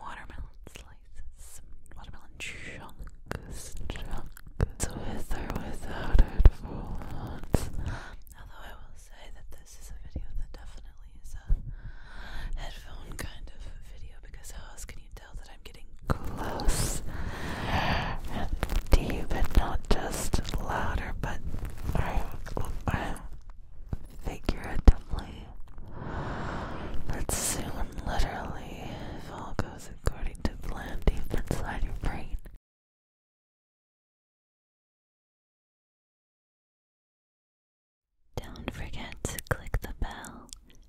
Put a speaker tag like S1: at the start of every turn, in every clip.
S1: watermelon slices, watermelon chunks, chunks, with or without headphones. Although I will say that this is a video that definitely is a headphone kind of video because how else can you tell that I'm getting close and deep and not just louder, but I, I figuratively, but soon literally, if all goes according to plan deep inside your brain. Don't forget to click the bell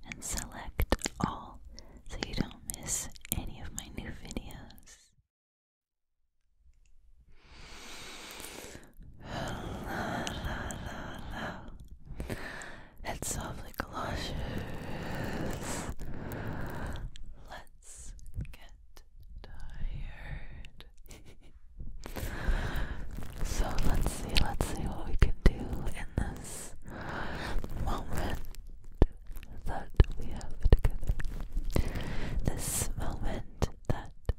S1: and select all so you don't miss any of my new videos. Hello, Let's softly close Let's get tired. so let's see, let's see what we can do in this moment that we have together. This moment that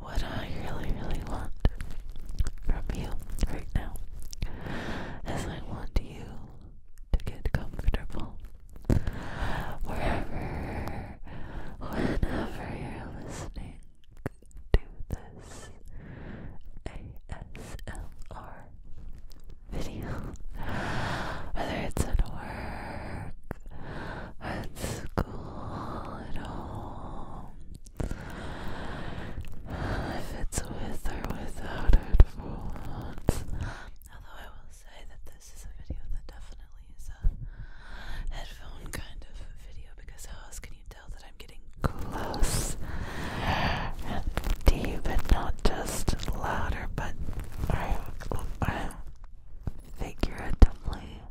S1: What I really, really want from you right now is I want you to get comfortable wherever, whenever you're listening to this ASMR video, whether it's at work, at school, at home, if it's with or without headphones, although I will say that this is a video that definitely is a headphone kind of video because how else can you tell that I'm getting close and deep and not just louder, but I, I figuratively.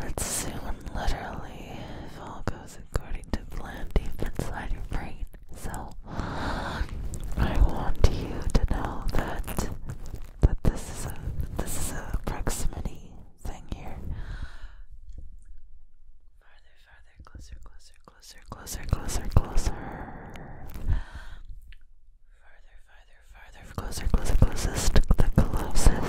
S1: Let's literally if all goes according to plan deep inside your brain. So I want you to know that that this is a this is a proximity thing here. Farther, farther, closer, closer, closer, closer, closer, closer. Farther, farther, farther, closer, closer, closest, the closest.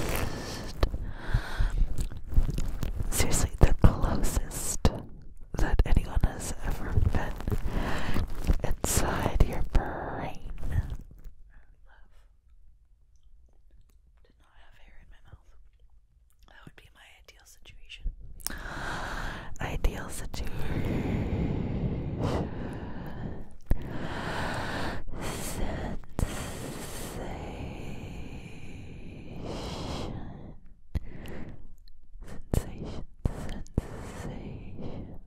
S1: Seriously, the closest that anyone has ever been inside your brain ideal situation. Ideal situation. Sensation. Sensation. Sensation.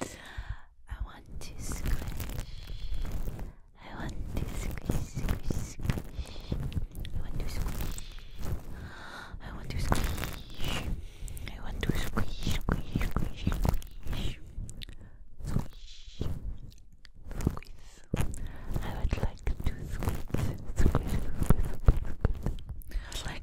S1: I want to squish. I want to squish, squish, squish. I want to squish. I want to squish. I want to squish, squish, squish, squish. Squish. Squish. I would like to squish, squish, squish, squish.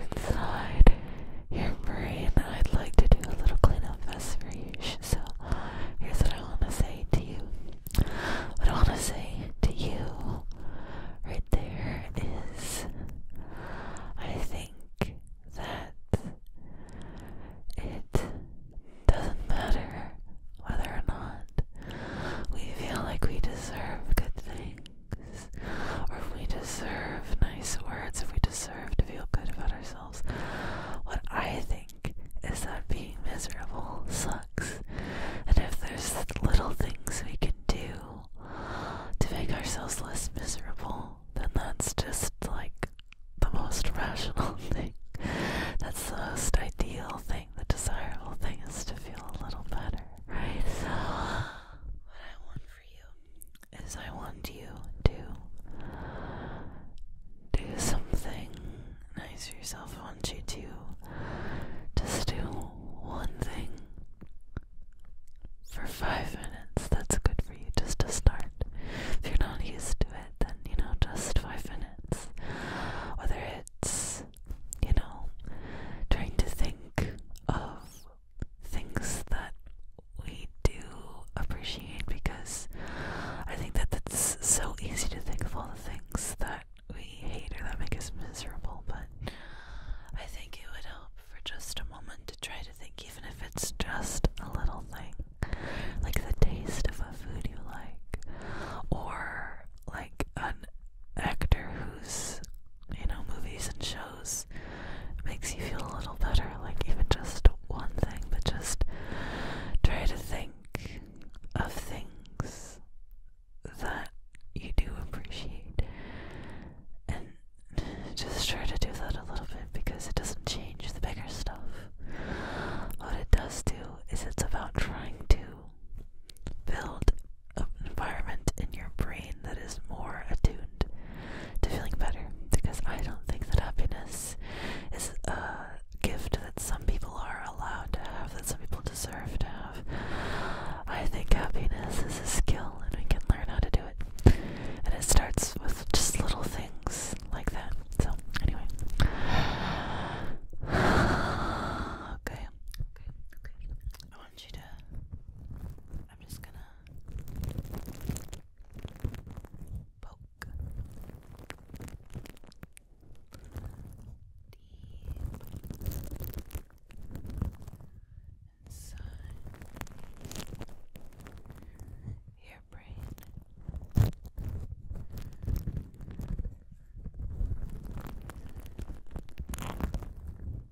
S1: inside your brain. I'd like to do a little cleanup fest for you. So here's what I want to say to you. What I want to say to you right there is I think that it doesn't matter whether or not we feel like we deserve good things or if we deserve nice words, if we deserve to feel good about ourselves, what I think is that being miserable sucks. And if there's little things we can do to make ourselves less miserable, then that's just like the most rational thing. That's the most ideal thing, the desirable thing is to feel a little better, right? So, what I want for you is I want you to do something nice for yourself. I want you to just do one thing for five minutes. That's good for you just to start. If you're not used to it, then you know, just five minutes. Whether it's, you know, trying to think of things that we do appreciate because I think that it's so easy to think of all the things that we hate or that make us miserable, but I think it would help for just a moment to try to think, even if it's just a little thing, like the taste of a food you like, or like an actor who's you know, movies and shows makes you feel a little better. Like even just one thing, but just try to think of things that you do appreciate. And just try to do that a little bit because it doesn't change the bigger stuff. What it does do is it's about trying to build an environment in your brain that is more attuned to feeling better. Because I don't think that happiness is a gift that some people are allowed to have, that some people deserve to have. I think happiness is a skill and we can learn how to do it. And it starts with just little things like that. So, anyway. Okay. Okay. Okay want you to. I'm just gonna poke deep inside your brain.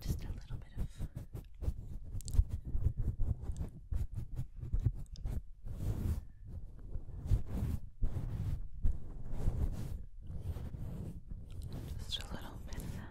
S1: Just a little bit of just a little bit of that.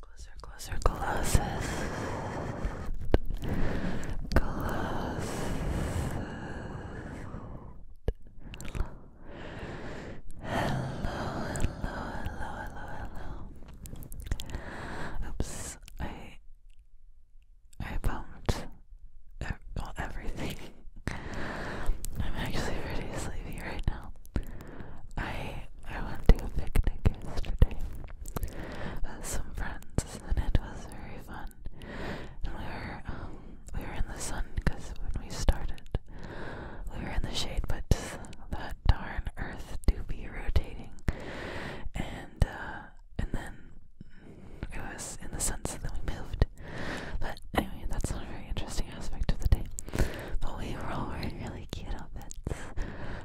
S1: closer, closer, closest. Closest. Hello, hello, hello, hello, hello. Oops, I I bumped everything. I'm actually pretty sleepy right now. I I went to a picnic yesterday with some friends, and it was very fun. And we were um, we were in the sun because when we started, we were in the shade, but that that darn Earth do be rotating, and uh, and then it was in the sense that we moved. But anyway, that's not a very interesting aspect of the day. But we were all wearing really cute outfits.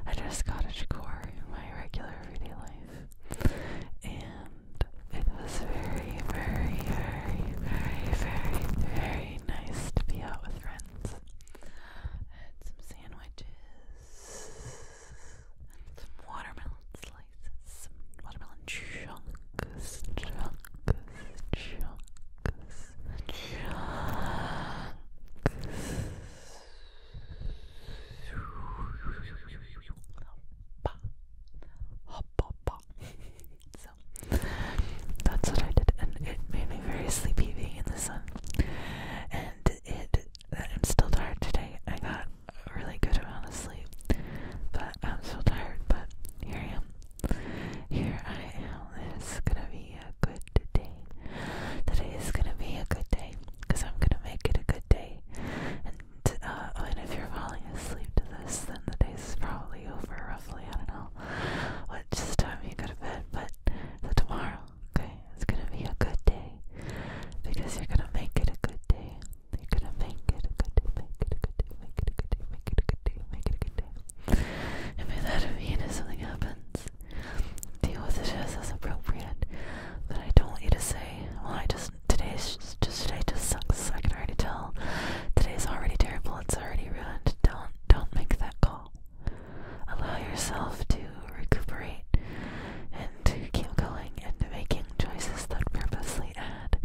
S1: I dress cottage core in my regular everyday life, and it was very, very, very, very, very, very nice to be out with friends. had some sandwiches some watermelon slices, watermelon chunks, chunks, chunks, chunks. that's what I did, and it made me very sleepy being in the sun. And it I'm still tired today. I got a really good amount of sleep, but I'm still tired. But here I am. Here I am. This is gonna be a good day. Today is gonna be a good day because I'm gonna make it a good day. And uh, I mean, if you're falling asleep to this, then the day is probably over. Roughly, I don't know what time you go to bed, but the tomorrow okay? It's gonna be a good day because you're gonna make it a good day. You're gonna make it a good day, make it a good day, make it a good day, make it a good day, make it a good day. And by that I mean if something happens, deal with it just as appropriate. But I don't want you to say, well, I just, today's just, just, today just sucks. I can already tell. Today's already terrible. It's already ruined. Don't, don't make that call. Allow yourself to recuperate and to keep going and making choices that purposely add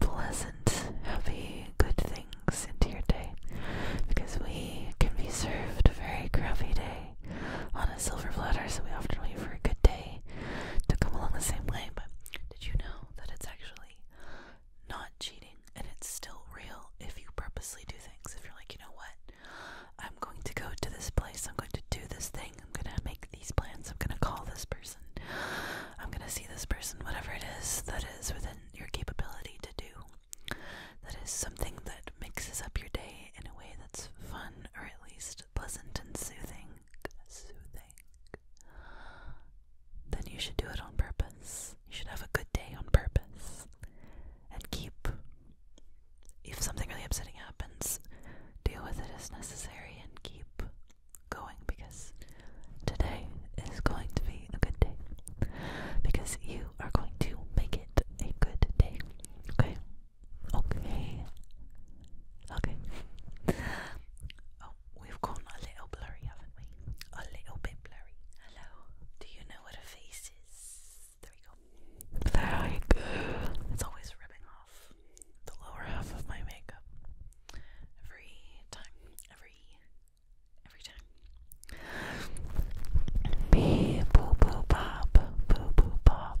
S1: pleasant, happy, good things into your day. Because we can be served a very crappy day on a silver platter, so we often wait for a good day to come along the same way. But did you know that it's actually not cheating and it's still real if you purposely do things? If you're like, you know what? I'm going to go to this place. I'm going to do this thing. I'm going to make these plans. I'm going to call this person. I'm going to see this person. Whatever it is that is within your capability to do. That is something that mixes up your day in a way that's fun or at least pleasant and soothing. Soothing. Then you should do it on purpose. You should have a good day on purpose. And keep if something really upsetting happens, deal with it as necessary and keep going because today is going to be a good day. Because you are going to make it a good day. Okay? Okay. Okay. Oh, we've gone a little blurry, haven't we? A little bit blurry. Hello. Do you know what a face is? There we go. There I go. It's always ripping off the lower half of my makeup. Every time. Every every time. Be boo boo pop. Boo boo pop.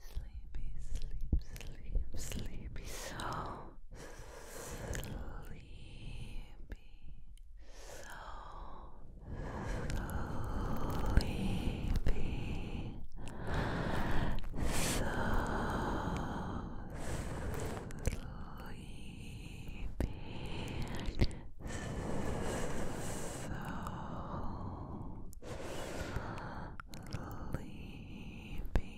S1: sleepy, sleep, sleep, sleepy, so sleepy, so sleepy, so sleepy. So sleepy,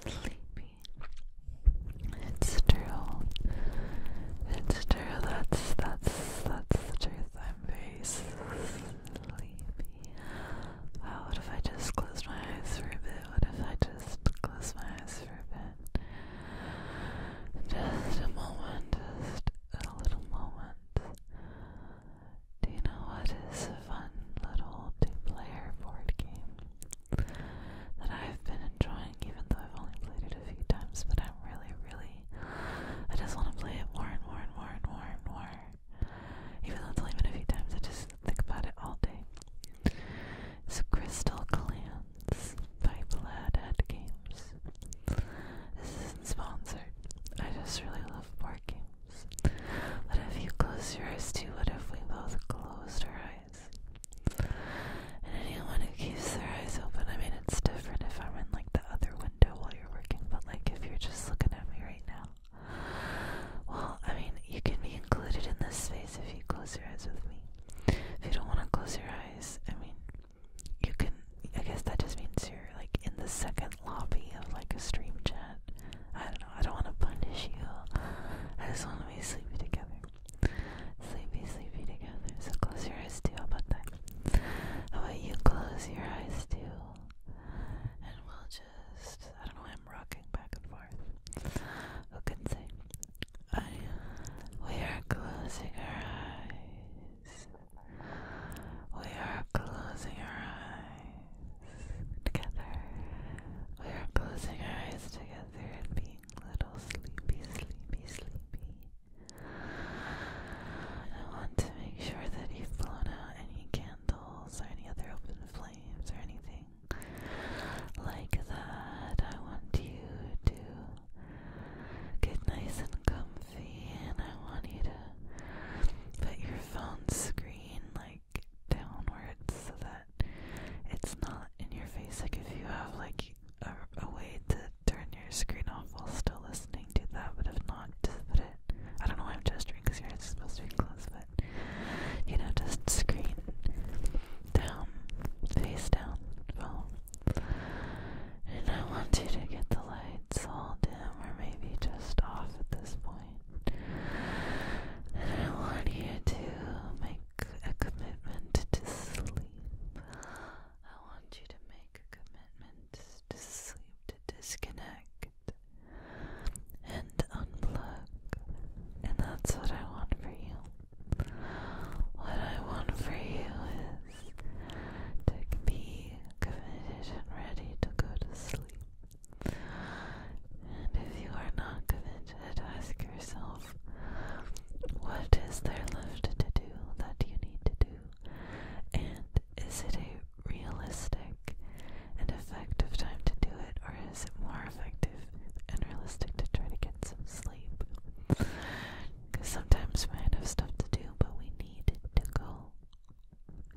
S1: Sleepy. It's true. It's true. That's that's that's the truth. I'm very sleepy. what if I just close my eyes for a bit? What if I just close my eyes for a bit? Just a moment, just a little moment. Do you know what is a fun little two-player board game that I've been enjoying, even though I've only played it a few times, but I'm really, really, I just want to play it more and more and more and more and more. Even though it's only been a few times, I just think about it all day. It's Crystal Clan. It's Games. This isn't sponsored. I just really love board games. What if you close your eyes too? What if we both closed our eyes? And anyone who keeps their eyes open, I mean, it's different if I'm in like the other window while you're working, but like if you're just looking at me right now, well, I mean, you can be included in this space if you close your eyes with me. If you don't want to close your eyes, I mean, you can I guess that just means you're like in the second lobby of like a stream chat. I don't know, I don't wanna punish you. I just wanna be sleepy together. Sleepy, sleepy together. So close your eyes too, how about that? How about you close your eyes too? And we'll just I don't know I'm rocking back and forth. Who can say? I we are closing our eyes. We are closing our eyes together. We are closing our eyes together and being little sleepy, sleepy, sleepy. I want to make sure that you've blown out any candles or any other open flames or anything like that. I want you to get nice and comfy, and I want you to put your phone screen like downwards so that it's not in your face. Like if you have like a, way to turn your screen off while still listening, to that. But if not, just put it. I don't know why I'm gesturing because your eyes supposed to be closed, but you know, just screen down, face down, phone and I want you to get the lights all dim or maybe just off at this point. And I want you to make a commitment to sleep. I want you to make a commitment to sleep, to disconnect and unplug. And that's what I want for you. What I want for you is to be committed and ready to go to sleep. And if you are not committed, ask yourself what is there left to do that you need to do? And is it a realistic and effective time to do it, or is it more effective and realistic to try to get some sleep? Because sometimes we might have stuff to do, but we need to go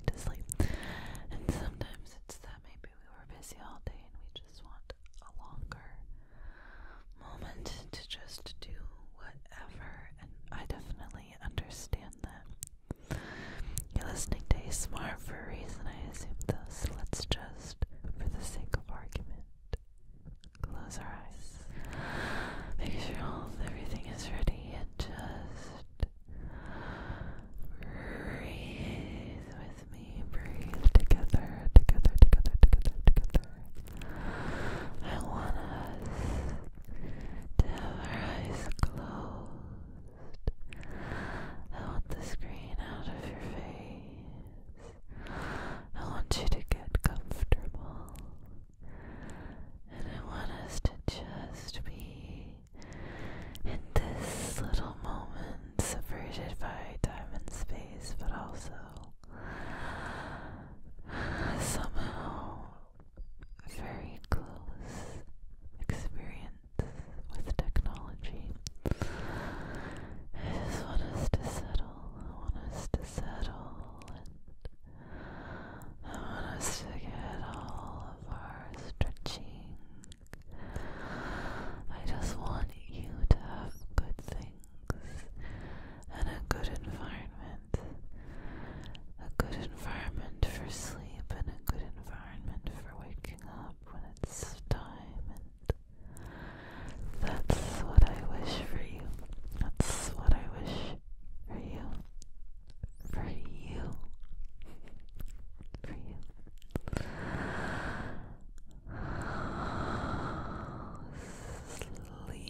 S1: to sleep. And sometimes it's that maybe we were busy all day and we just want a longer moment to just do whatever. And I definitely understand that. You're listening to ASMR for a reason, I assume, though, let's just, for the sake of argument, Close our eyes. Make sure all everything is ready and just breathe with me. Breathe together, together, together, together, together. I want us to have our eyes closed. I want the screen out of your face. I want you to get comfortable. And I want us to just be in this little moment, separated by time and space, but also somehow very close experience with technology. I just want us to settle. I want us to settle I want us to get all of our stretching. I just want you to have good things and a good environment. A good environment for sleep and a good environment for waking up when it's time that's what I wish for you. That's what I wish for you. For you. For you. Sleep. Sleep